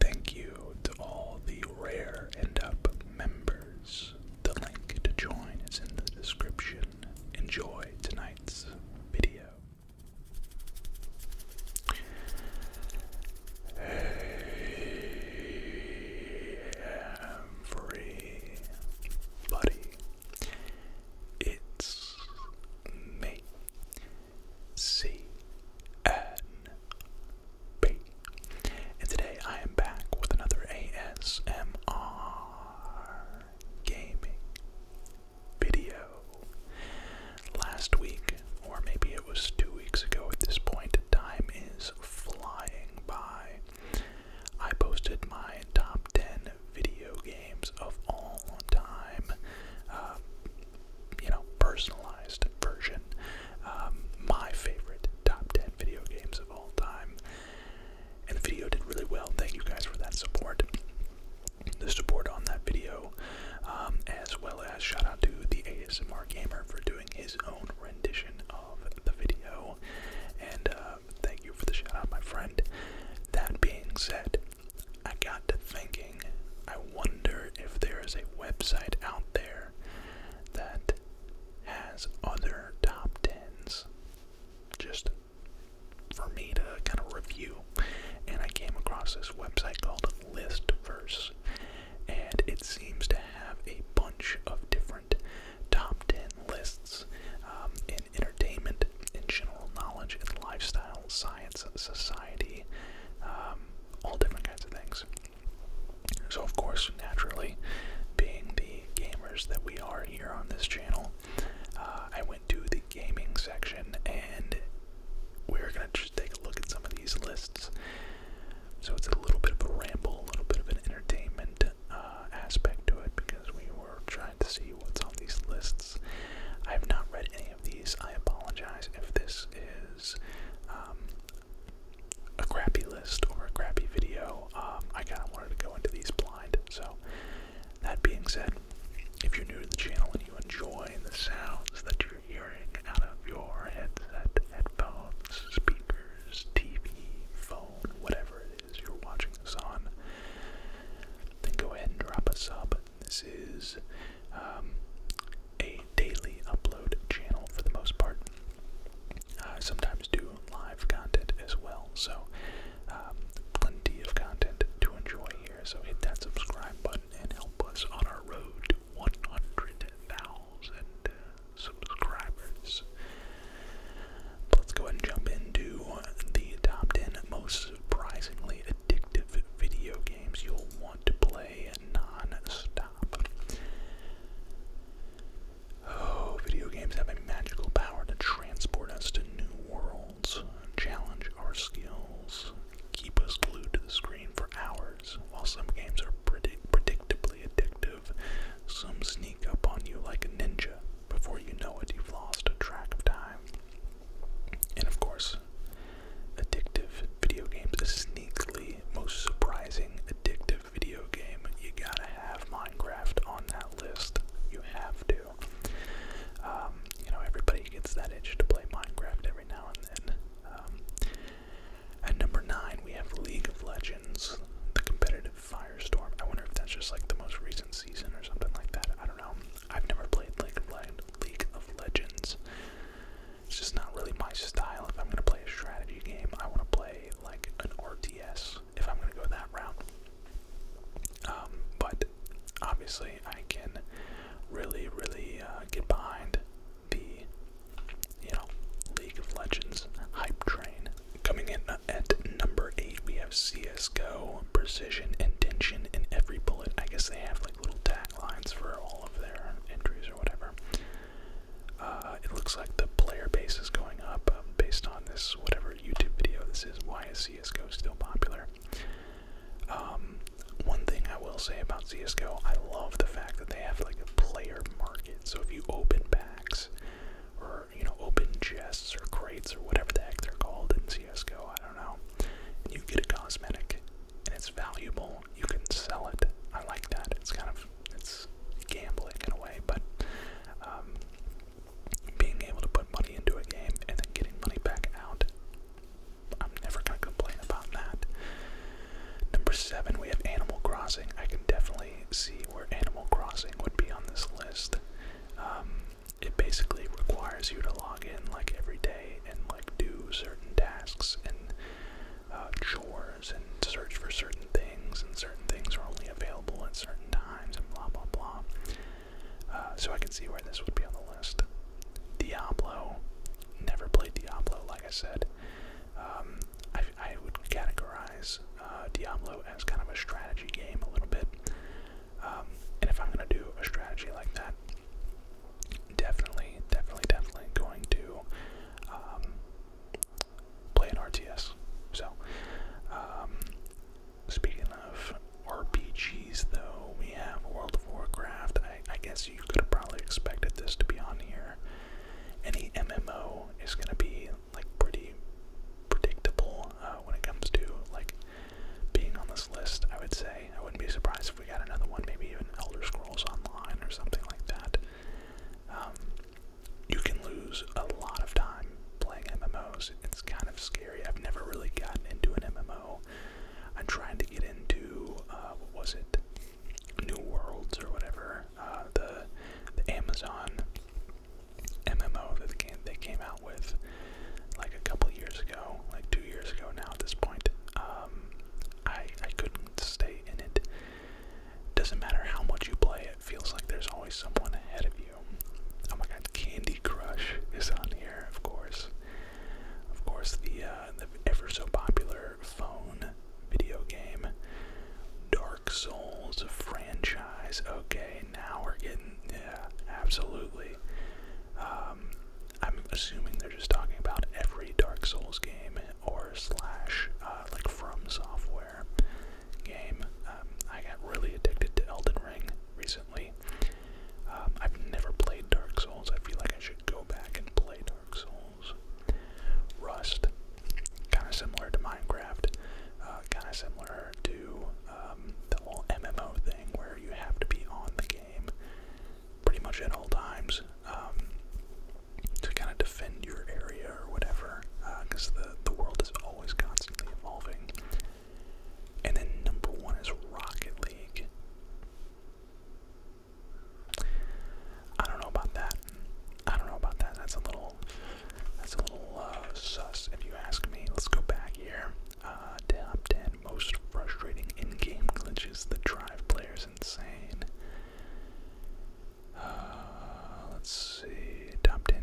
Thank you to all the Rare end Up members. The link to join is in the description. Enjoy tonight's video. Hey, everybody. It's me, C N B. And today I am back with another ASMR gaming video. Last week, or maybe it was two weeks ago at this point, time is flying by. I posted my top 10 video games of all time. Uh, you know, personalized version. Um, my favorite top 10 video games of all time. And the video did really well. Thank you guys for that support. The support on that video, um, as well as shout out to the ASMR Gamer for doing his own rendition of the video. And uh, thank you for the shout out, my friend. That being said, I got to thinking I wonder if there is a website out there that has other top tens just for me to kind of review. And I came across this website called Listverse, and it seems to have a bunch of different top ten lists um, in entertainment, in general knowledge, in lifestyle, science, society. Um, all different kinds of things. So, of course, naturally, being the gamers that we are here on this channel, uh, I went to the gaming section and we're going to just take a look at some of these lists. So, it's a little bit of a ramble, a little bit of an entertainment uh, aspect to it because we were trying to see what's on these lists. I have not read any of these. I apologize if this is. Um, a crappy list or a crappy video. Um, I kind of wanted to go into these blind. So, that being said, if you're new to the channel and you enjoy the sounds that you're hearing out of your headset, headphones, speakers, TV, phone, whatever it is you're watching this on, then go ahead and drop a sub this is um, a daily upload channel for the most part. I sometimes do live content as well, so um, plenty of content to enjoy here. So hit that subscribe button and help us on our road to 100,000 uh, subscribers. let's go ahead and jump into the top 10 most surprisingly addictive video games you'll want to play Oh, video games have a magical power to transport us to new worlds, challenge our skills, keep us glued to the screen for hours. While some games are predictably addictive, some sneak up on you like a ninja. Before you know it, you've lost track of time. And of course, addictive video games. A sneakily most surprising addictive video game. You gotta have Minecraft on that list. You have to. Um, you know, everybody gets that itch to play Minecraft every now and then. Um, at number nine, we have League of Legends, the competitive firestorm. I wonder if that's just like the most recent season or something like that. I don't know. I've never played League League of Legends. It's just not really my style. If I'm going to play a strategy game, I want to play like an RTS if I'm going to go that route. Um, but obviously, I can really, really uh, get behind the you know League of Legends hype train. Coming in at number eight, we have CS:GO precision intention in every bullet. I guess they have like little tags Lines for all of their injuries or whatever. Uh, it looks like the player base is going up um, based on this whatever YouTube video this is. Why CS:GO is still popular? Um, one thing I will say about CSGO, I love the fact that they have like a player market. So if you open packs or you know open chests or crates or whatever the heck they're called in CSGO, I don't know. And you get a cosmetic and it's valuable. You can sell it. I like that. It's kind of it's gambling in a way, but um, being able to put money into a game and then getting money back out, I'm never gonna complain about that. Number seven, we have Animal Crossing. I can definitely see where Animal Crossing would be on this list. Um, it basically requires you to log in like every day and like do certain tasks and uh, chores and search for certain things and certain things are only available at certain times and blah blah blah. Uh, so I can see where this would be on the list. Diablo, never played Diablo, like I said. Um, I, would categorize uh, Diablo as kind of a strategy game a little bit. Um, and if I'm gonna do a strategy like that, definitely, definitely, definitely going to um, play an RTS. So, um, speaking of RPGs, though, we have World of Warcraft. I, I guess you could have probably expected this to be on here. Any MMO is going to be like pretty predictable uh, when it comes to like being on this list, I would say. I wouldn't be surprised if we got another one, maybe even Elder Scrolls Online or something like that. Um, you can lose a lot of time playing MMOs. It's kind of scary. I've never really gotten into an MMO. I tried to get into, uh, what was it? New Worlds or whatever. Uh, the, the Amazon MMO that they came, they came out with like a couple years ago, like two years ago now at this point. Um, I I couldn't stay in it. Doesn't matter how much you play, it feels like there's always someone ahead of you. Oh my God, Candy Crush is on here, of course. Of course, the uh, the ever so popular phone video game, Dark Souls franchise. Okay, now we're getting yeah, absolutely. Um, I'm assuming they're just talking about every Dark Souls game or slash uh, like From Software game. Um, I got really addicted to Elden Ring recently. Um, I've never played Dark Souls. I feel like I should go back and play Dark Souls. Rust, kind of similar to Minecraft, uh, kind of similar to um, the whole MMO thing where you have to be on the game pretty much at all times um, to kind of defend your area or whatever, because uh, the, the world is always constantly evolving. And then number one is Rocket League. I don't know about that. I don't know about that. That's a little, that's a little uh, sus if you ask me. Let's go back here. Uh, top 10 most frustrating in game glitches that drive players insane. Uh, let's see. Top 10.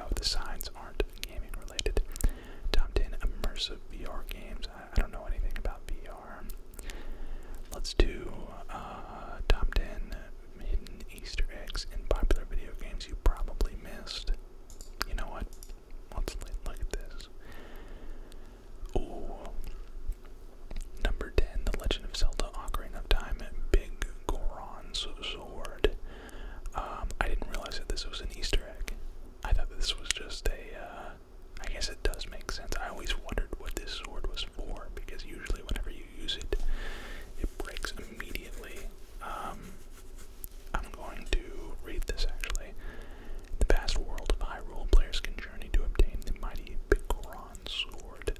Oh, the signs aren't gaming related. Top 10 immersive VR games. I, don't know anything about VR. Let's do uh, top 10 hidden Easter eggs in popular video games you probably missed. You know what? what's like this? Oh, number ten, The Legend of Zelda: Ocarina of Time, Big Goron's Sword. Um, I didn't realize that this was an Easter egg. I thought this was just a. Uh, I guess it does make sense. I always wondered what this sword was for because usually whenever you use it, it breaks immediately. Um, I'm going to read this actually. The vast world of Hyrule players can journey to obtain the mighty Bicoron Sword.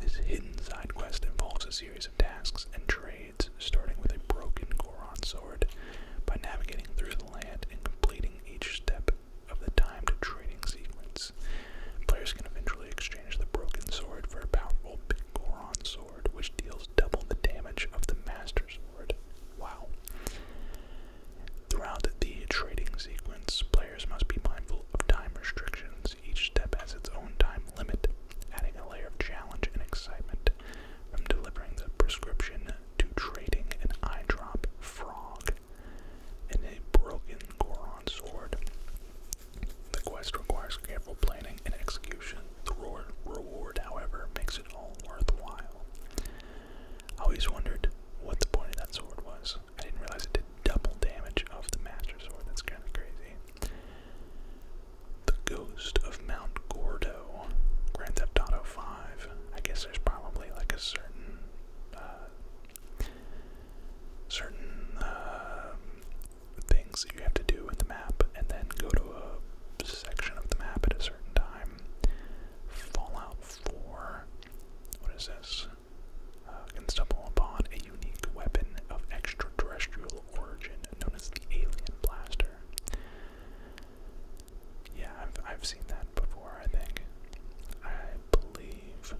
This hidden side quest involves a series of tasks and trades, starting with a broken Goron sword. By navigating through the land and completing each step of the timed trading sequence, players can eventually exchange the broken sword for a powerful Big Goron sword, which deals double the damage of the Master's Wow. Throughout the trading sequence, players must be mindful of time restrictions. Each step has its own time limit, adding a layer of challenge and excitement. From delivering the prescription to trading an eye drop frog and a broken Goron sword. The quest requires careful planning and execution. The reward, however, makes all worthwhile. I always wondered what the point of that sword was. I didn't realize it did double damage of the Master Sword. That's kind of crazy. The Ghost of Mount Gordo, Grand Theft Auto 5. I guess there's probably like a certain, uh, certain uh, things that you have to do in the map, and then go to a section of the map at a certain time. Fallout 4. What is this? Uh, can stumble upon a unique weapon of extraterrestrial origin known as the Alien Blaster. Yeah, I've, I've seen that before, I think. I believe.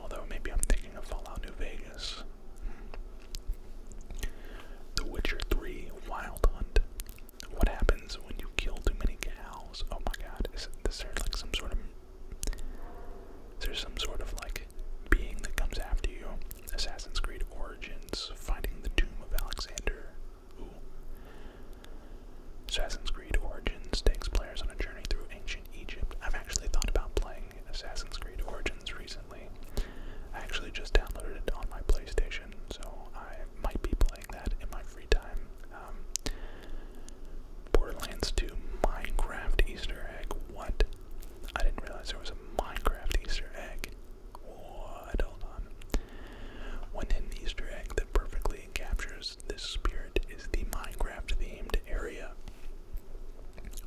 Although maybe I'm thinking of Fallout New Vegas. Hmm. The Witcher 3 Wild Hunt. What happens when you kill too many cows? Oh my god, is, it, is there like some sort of. Is there some sort of like being that comes after you? Assassin's Creed Origins, Finding the Tomb of Alexander. Assassin's Creed Origins takes players on a journey through ancient Egypt. I've actually thought about playing Assassin's Creed Origins recently. I actually just downloaded it on my PlayStation, so I might be playing that in my free time. Um, Borderlands 2 Minecraft Easter egg. What? I didn't realize there was a Minecraft Easter egg. What? Hold on. One in the Easter egg that perfectly captures this spirit is the Minecraft themed area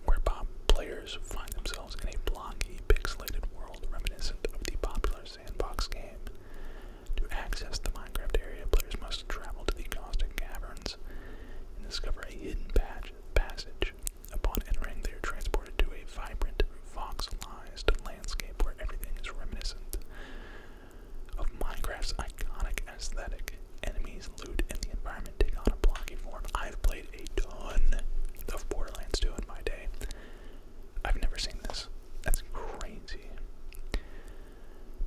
where Bob players find themselves in a blocky, pixelated world reminiscent of the popular sandbox game. To access the Minecraft area, players must travel to the Caustic Caverns and discover a hidden passage. Upon entering, they are transported to a vibrant, voxelized landscape where everything is reminiscent of Minecraft's iconic aesthetic. Enemies, loot, and the environment take on a blocky form. I've played a ton of Borderlands 2 in my day. I've never seen this. That's crazy.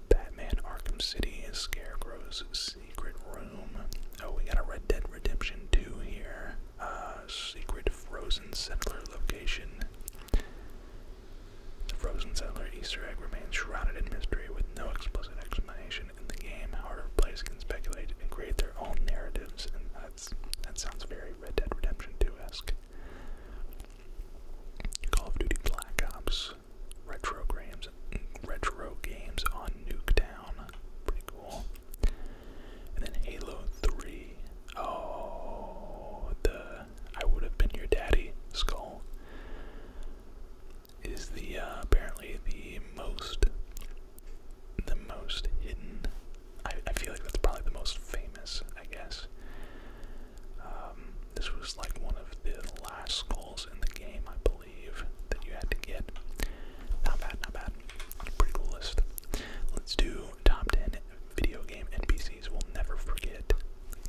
Batman Arkham City is Scarecrow's Secret Room. Oh, we got a Red Dead Redemption 2 here. Uh, secret Frozen Settler location. The Frozen Settler Easter egg remains shrouded in mystery with no explicit explanation in the game. However, players can speculate and create their own narratives, that sounds very Red Dead Redemption 2-esque. Call of Duty Black Ops retro games, retro games on Nuketown, pretty cool. And then Halo 3. Oh, the I would have been your daddy skull is the uh, apparently the most the most hidden. I, feel like that's probably the most famous, I guess. Um, this was like one of the last skulls in the game, I believe, that you had to get. Not bad, not bad. Pretty cool list. Let's do top 10 video game NPCs we'll never forget.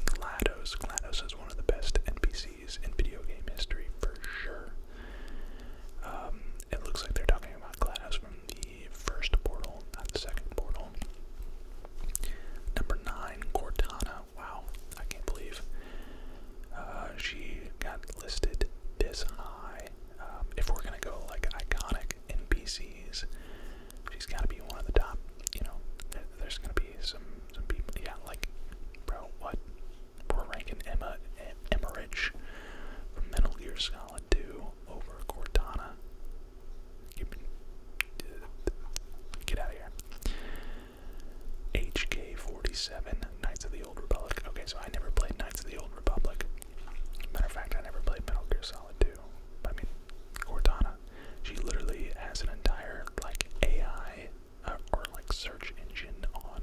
GLaDOS. GLaDOS is one of the best NPCs in video game history for sure. Um, it looks like they're talking about Gladys from the first portal, not the second portal. Number nine, Cortana. Wow, I can't believe uh, she got listed this high. Um, if we're gonna go like iconic NPCs, she's gotta be one of the top. You know, there's gonna be some some people. Yeah, like, bro, what? for ranking Emma Emmerich from Metal Gear Solid 2 over Cortana. Get out of here. HK47, Knights of the Old Republic. Okay, so I never played Knights of the Old Republic. Matter of fact, I never played Metal Gear Solid 2. I mean, Cortana. She literally has an entire, like, AI uh, or, like, search engine on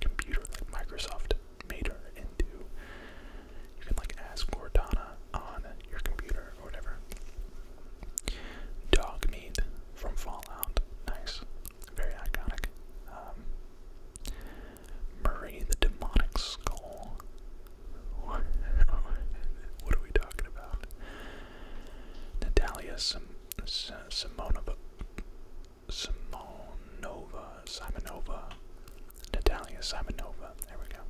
computer, like Microsoft made her into. You can like ask Cortana on your computer or whatever. Dog meat from Fallout. Nice. Very iconic. Um, Murray the Demonic Skull. What, are we talking about? Natalia Sim Sim Simonova, Simonova, Natalia Simonova. There we go.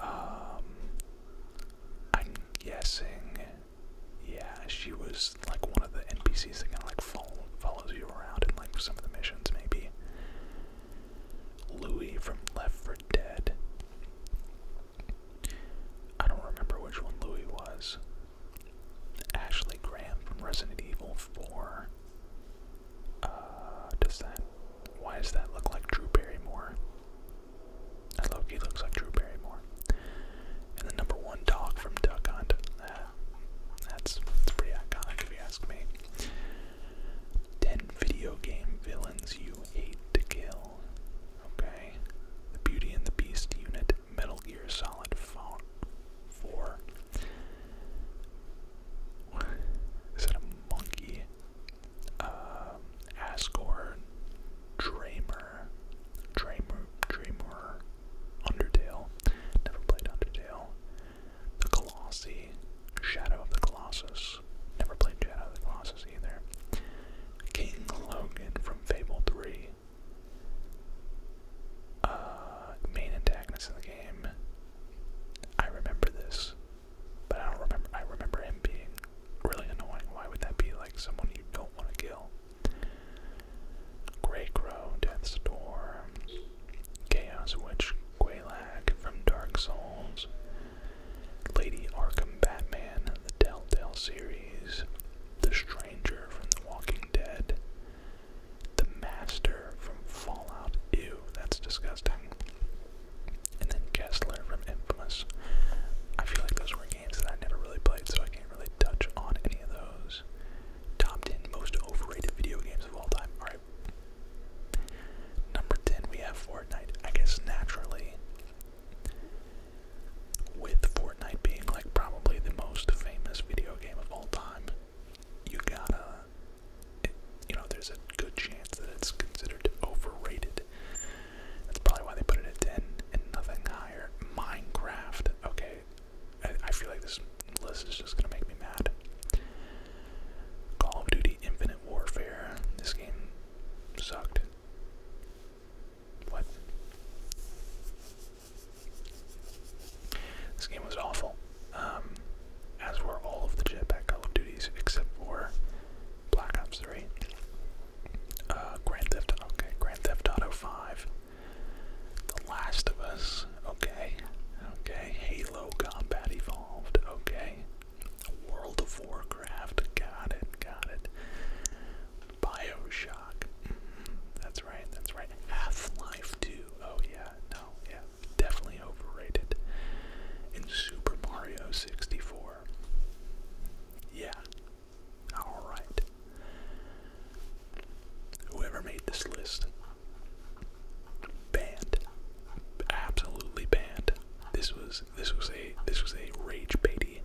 Um, I'm guessing, yeah, she was like one of the NPCs that kind of like follow, follows you around in like some of the missions, maybe. Louis from Left for Dead. I don't remember which one Louis was. Ashley Graham from Resident Evil 4. Uh, does that. Why does that look like Drew Barrymore? I That he looks like Drew Barrymore. And the number one dog from Duck Hunt. that's, that's pretty iconic if you ask me. 10 video game villains you hate to kill. Okay. The Beauty and the Beast unit, Metal Gear Solid Four. Is that a monkey? Um, Asgore, Dramer, Dramer, Undertale. Never played Undertale. The Colossi, Shadow of the Colossus. Never played Shadow of the Colossus either. King Logan from Fable 3. Uh, main antagonist in the game. I remember this, but I don't remember. I remember him being really annoying. Why would that be like someone you don't want to kill? Grey Crow, Death's Chaos Witch, Quelac from Dark Souls, Lady Arkham Batman, the Telltale series, The Stranger from The Walking Dead, the Master from Fallout. Ew, that's disgusting. And then Kessler from Infamous. I feel like those were games that I never really played, so I can't really touch on any of those. Top 10 most overrated video games of all time. Alright. Number 10, we have Fortnite. I guess naturally with Fortnite being like probably the most famous video game of all time, you gotta, you know, there's a good chance that it's considered overrated. That's probably why they put it at 10 and nothing higher. Minecraft, okay, I, I feel like this list is just gonna make me mad. Call of Duty Infinite Warfare, this game sucked. What? This game was awful, um, as were all of the jetpack Call of Duties except for Black Ops 3, uh, Grand Theft okay, Grand Theft Auto 5, The Last of Us, okay, okay, Halo Combat Evolved, okay, World of Warcraft, got it, got it. Bioshock. Mm-hmm. That's right, that's right. Half Life 2. Oh, yeah, no, yeah. Definitely overrated. In Super Mario 64. Yeah. Alright. Whoever made this list, banned. Absolutely banned. This was this was a this was a rage baity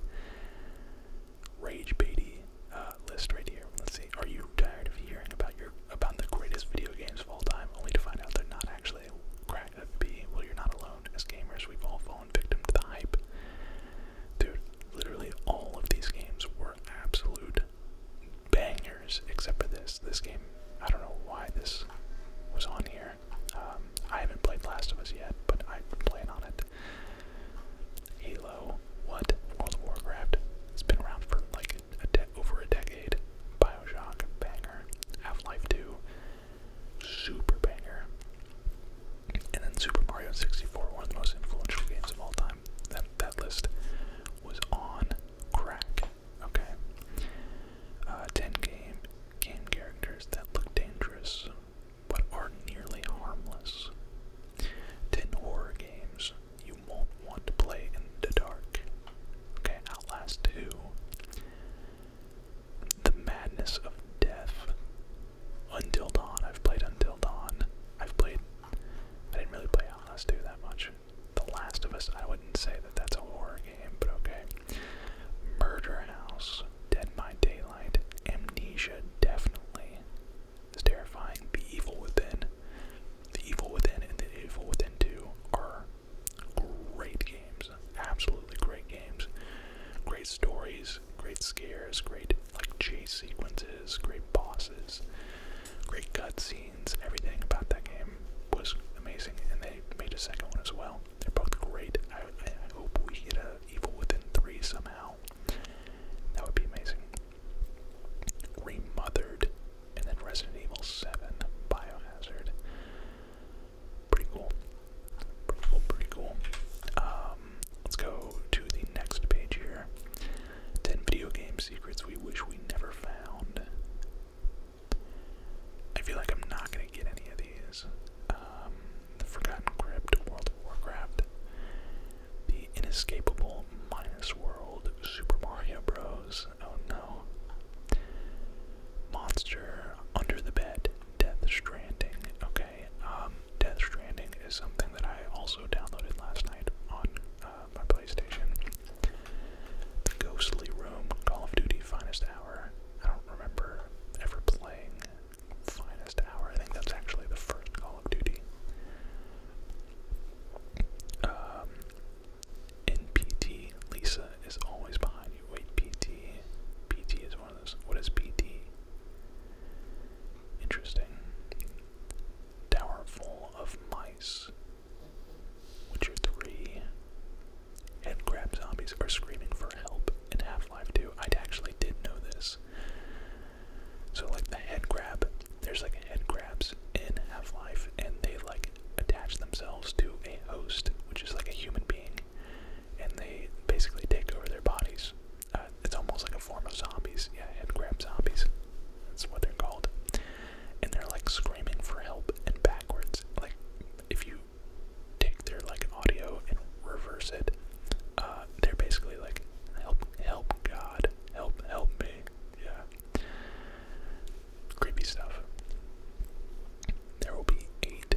rage baity uh, list right here. Let's see. Are you tired of hearing about your about the greatest video games of all time, only to find out they're not actually crack up Well, you're not alone. As gamers, we've all fallen victim to the hype. Dude, literally all of these games were absolute bangers, except for this. This game, I don't know why this was on here. Um, I haven't played Last of Us yet, but I plan on it. Halo, what? World of Warcraft. It's been around for like a de over a decade. Bioshock, banger. Half-Life 2, super banger. And then Super Mario 64, one of the most influential games of all time. That that list was on crack. Okay. Uh, 10 game game characters that look dangerous but are nearly harmless. 10 horror games you won't want to play in the dark. Okay, last 2. The Madness of Death. Until Dawn. I've played Until Dawn. I've played. I didn't really play Outlast 2 that much. The Last of Us, I wouldn't say that that's a horror game, but okay. Murder House. Dead by Daylight. Amnesia, definitely. It's terrifying. The Evil Within, The Evil Within, and The Evil Within 2 are great games. Absolutely great games. Great stories, great scares, great like chase sequences, great bosses, great cutscenes. Everything about that game was amazing, and they made a second one as well. They're both great. I, I hope we get a Evil Within 3 somehow. That would be amazing. Remothered, and then Resident Evil 7 Biohazard. Pretty cool. Pretty cool, pretty cool. Um, let's go to the next page here 10 video game secrets we wish we never found. I feel like I'm not going to get any of these. Um, the Forgotten Crypt, World of Warcraft, The Inescapable Minus World, Super Mario Bros. Oh no. Monster Under the Bed, Death Stranding. Okay, um, Death Stranding is something that I also downloaded last night on uh, my PlayStation. The Ghostly Room, Call of Duty Finest Hour. I don't remember ever playing finest hour. I think that's actually the first Call of Duty. Um, in PT, Lisa is always behind you. Wait, PT. PT is one of those. What is PT? Interesting. Tower full of mice. Witcher 3. Head grab zombies are screaming for help in Half Life 2. I actually did know this. So like the head grab, there's like head grabs in Half-Life, and they like attach themselves to a host, which is like a human being, and they basically take over their bodies. Uh, it's almost like a form of zombies. Yeah, head grab zombies. That's what they're called. And they're like screaming for help and backwards. Like if you take their like audio and reverse it, uh, they're basically like, help, help God, help, help me. Yeah. Creepy stuff. There will be eight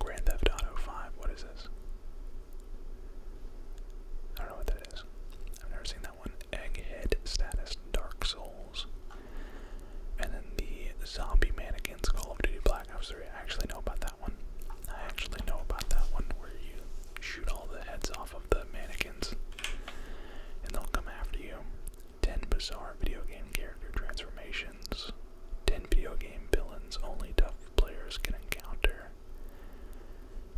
Grand Theft Auto 5. What is this? I don't know what that is. I've never seen that one. Egghead status, Dark Souls. And then the zombie mannequins, Call of Duty Black I actually know about that one. I actually know about that one where you shoot all the heads off of the mannequins and they'll come after you. 10 bizarre video game character transformations. 10 video game villains only tough players can encounter.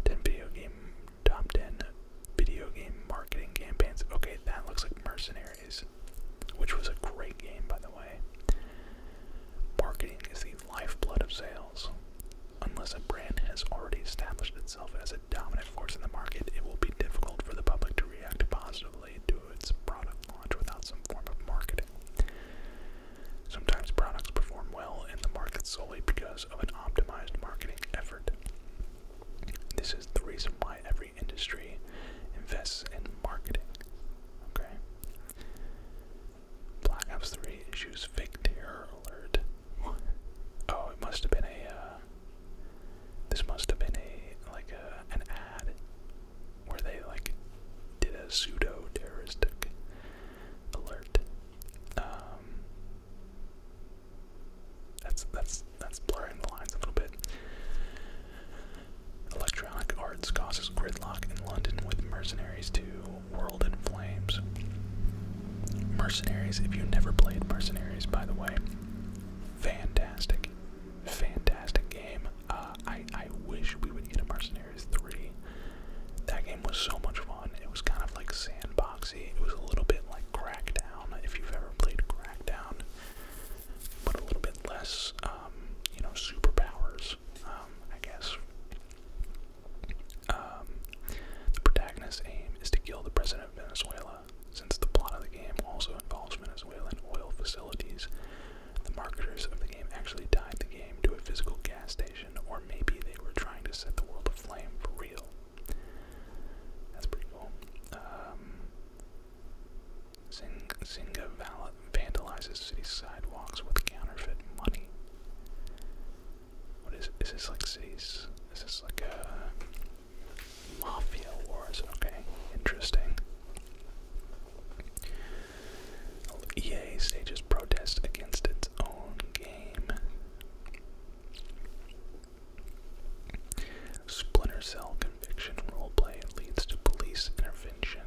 10 video game top 10 video game marketing campaigns. Okay, that looks like Mercenaries, which was a great game by the way. Marketing is the lifeblood of sales. Unless a brand has already established itself as a dominant force in the market, it will be difficult for the public to react positively to its product launch without some form of marketing. Sometimes products perform well in the market solely because of an optimized marketing effort. This is the reason why every industry invests in marketing. Okay? Black Ops 3 issues fake terror alert. oh, it must have been a, uh, this must have been a, like an ad where they, like, did a pseudo-terroristic alert. Um, that's, that's, that's blurring the lines a little bit. Electronic Arts causes gridlock in London with Mercenaries to World in Flames. Mercenaries, if you never played Mercenaries, by the way, fantastic, fantastic game. Uh, I, I wish we would get a Mercenaries 3. That game was so much fun. It was kind of like sandboxy. It was a little bit like Crackdown, if you've ever played Crackdown, but a little bit less, um, you know, superpowers um, I guess. Um, the protagonist's aim is to kill the president of Venezuela. Since the plot of the game also involves Venezuelan oil facilities, the marketers of the game actually tied the game to a physical gas station, or maybe they were trying to set the world aflame for real. That's pretty cool. Um, Zinga vandalizes city sidewalks with counterfeit money. What is this like cities? Is like a mafia wars? Okay, interesting. EA stages protest against its own game. Splinter Cell conviction roleplay leads to police intervention.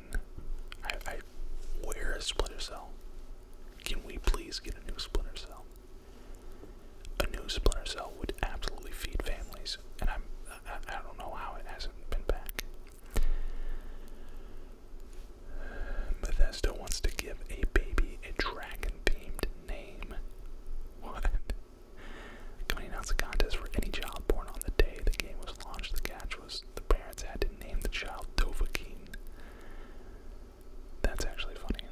I, I a Splinter Cell? Can we please get a new Splinter Cell? A new Splinter Cell would absolutely feed families, and I'm I, don't know how it hasn't been back. Bethesda wants to give a baby a dragon-themed name. What? Company announced a contest for any child born on the day the game was launched. The catch the parents had to name the child Dovahkiin. That's actually funny.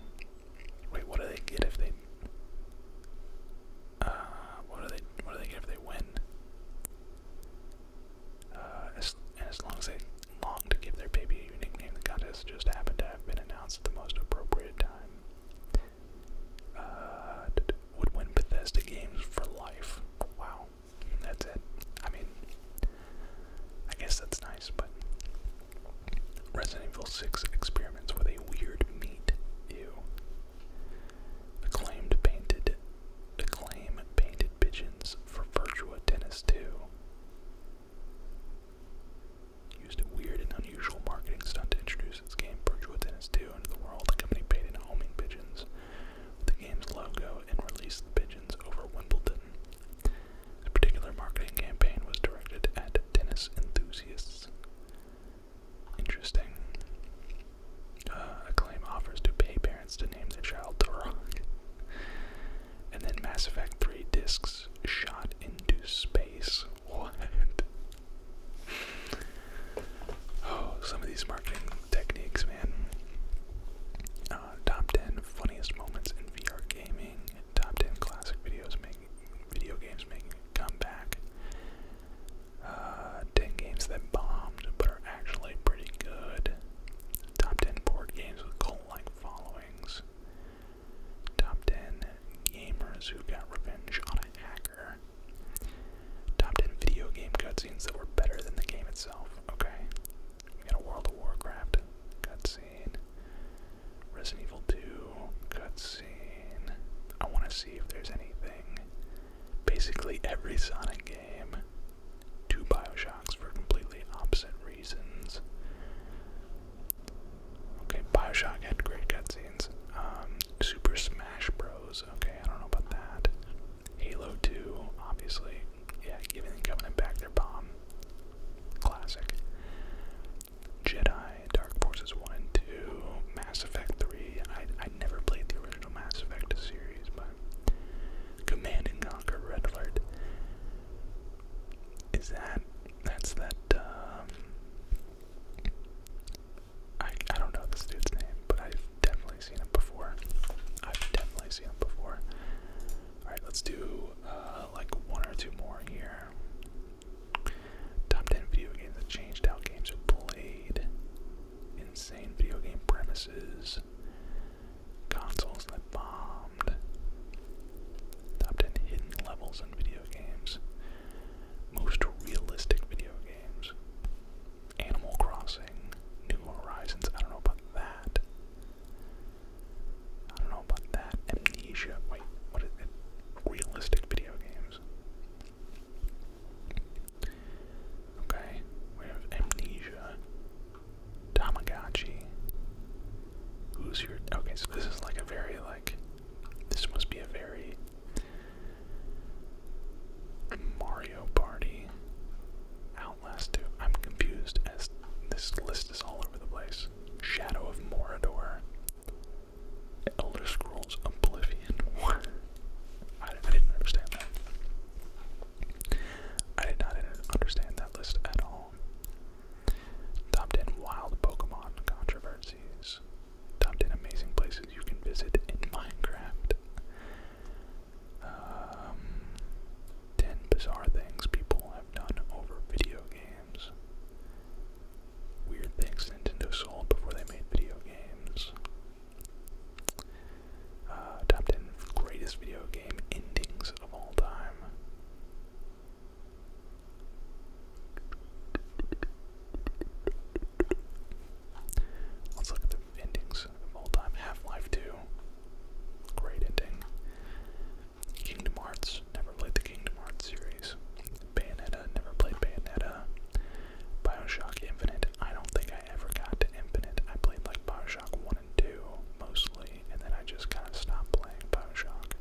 Wait, what do they get if they? Uh, what do they? What do they get if they win? Uh, and as long as they long to give their baby a nickname, the contest just happened to have been announced at the most appropriate time. Uh, would win Bethesda games for life. Wow that's it. I mean, I guess that's nice, but Resident Evil 6 experiments with a weird meat. You Acclaimed painted, acclaim painted pigeons for Virtua Tennis 2. Used a weird and unusual marketing stunt to introduce its game Virtua Tennis 2 into the world. The company painted homing pigeons the game's logo and released the pigeons over Wimbledon. A particular marketing campaign was directed at tennis enthusiasts. Interesting. Uh, a claim offers to pay parents to name their child Turok. and then Mass Effect 3 discs shot into space. What? Oh, some of these marketing techniques, man. Uh, top 10 funniest moments in VR gaming. Top 10 classic videos making video games making a comeback. Uh, 10 games that bombed but are actually pretty good. Top 10 board games with cult-like followings. Top 10 gamers who got revenge on a hack Top 10 video game cutscenes that were better than the game itself. Okay. We got a World of Warcraft cutscene. Resident Evil 2 cutscene. I want to see if there's anything. Basically, every Sonic game. Two Bioshocks for completely opposite reasons. Okay, Bioshock had great cutscenes. Um, Super Smash Bros. Okay, I don't know about that. Halo 2, obviously. Yeah, giving the Covenant back their bomb. Classic. Jedi, Dark Forces 1 2, Mass Effect 3. I, I never played the original Mass Effect series, but. Command and Conquer Red Alert. Is that. That's that. Um, I, I don't know this dude's name, but I've definitely seen him before. I've definitely seen him before. Alright, let's do uh, like one or two more here. Top 10 video games that changed how games are played. Insane video game premises. Consoles that bombed. Top 10 hidden levels in video games. Most realistic video games. Animal Crossing, New Horizons. I don't know about that. I don't know about that. Amnesia. Wait, what is it? Realistic video games. Okay, we have Amnesia, Tamagotchi. Who's your. Okay, so this is like a very, like. This must be a very Mario Party, Outlast 2. I'm confused as this list is all over the place. Shadow of Morador, Elder Scrolls Oblivion. I, I didn't understand that. I did not understand that list at all. Top 10 wild Pokemon controversies. Top 10 amazing places you can visit in Minecraft. Um, 10 bizarre things people have done over video games. Weird things Nintendo sold before they made video games. top uh, 10 greatest video game endings of all time. Let's look at the endings of time. Half-Life 2, great ending. Kingdom Hearts, never played the Kingdom Hearts series. Bayonetta, never played Bayonetta. Bioshock Infinite, I don't think I ever got Infinite. I played like Bioshock 1 and 2 mostly, and then I just kind of stopped playing Bioshock.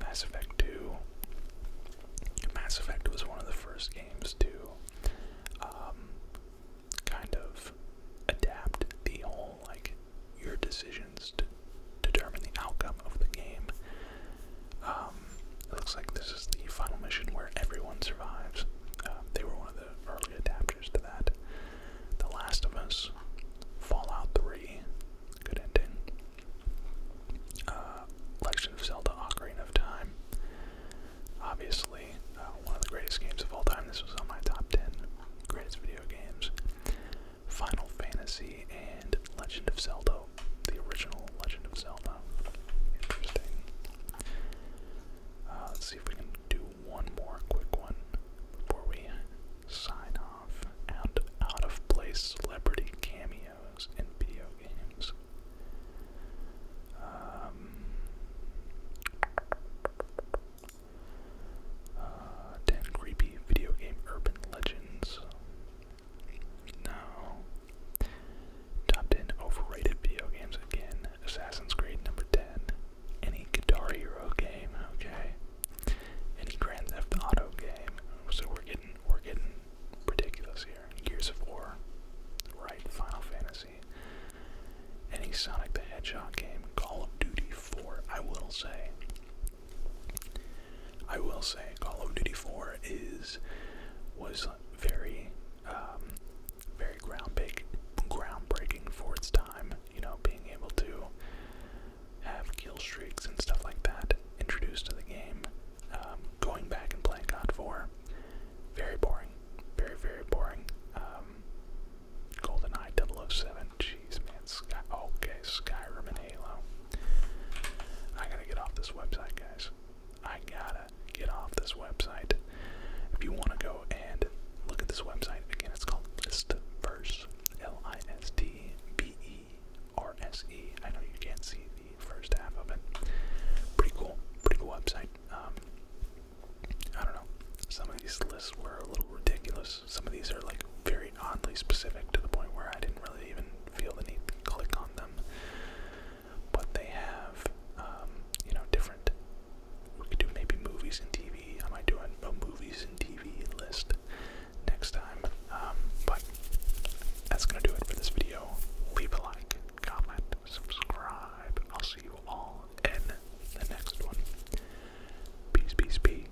Mass Effect 2, Mass Effect was one of the first games to um, kind of adapt the whole like your decisions to determine the outcome of the game. Um, it looks like this is the final mission where everyone survives. Um, they were one of the early adapters to that. The Last of Us, Fallout 3, good ending. Uh, Legend of Zelda Ocarina of Time. Obviously, uh, one of the greatest games of all time. This was on my top 10 greatest video games. Final Fantasy and Legend of Zelda, the original Legend of Zelda. Interesting. Uh, let's see if we can do one more quick one before we sign off. and out of place celebrity cameo and video games. Um, uh, 10 creepy video game urban legends. No. Top 10 overrated video games again. Assassin's Creed number 10. Any Guitar Hero game, okay. Any Grand Theft Auto game. So we're getting we're getting ridiculous here. Gears of War, right? Final Fantasy, any Sonic the Hedgehog game, Call of Duty 4. I will say, I will say, Call of Duty 4 is was very, um, very groundbreaking, groundbreaking for its time. You know, being able to have kill streaks and stuff like that introduced to the game, um, going back and playing God for, very boring, very very boring. Um, Golden Eye 007, jeez man, Sky okay, Skyrim and Halo. I gotta get off this website, guys. I gotta get off this website. If you want to go and look at this website again, it's called Listverse. L I S T B E RSE. I know you can't see the first half of it. Pretty cool, pretty cool website. Um, I don't know. Some of these lists were a little ridiculous. Some of these are like very oddly specific to the point where I didn't really even feel the need to click on them. But they have, um, you know, different. We could do maybe movies and TV. I might do a movies and TV list next time. Um, but that's gonna do it for this video. Leave a like, comment, subscribe. I'll see you all in the next one. Peace, peace, peace.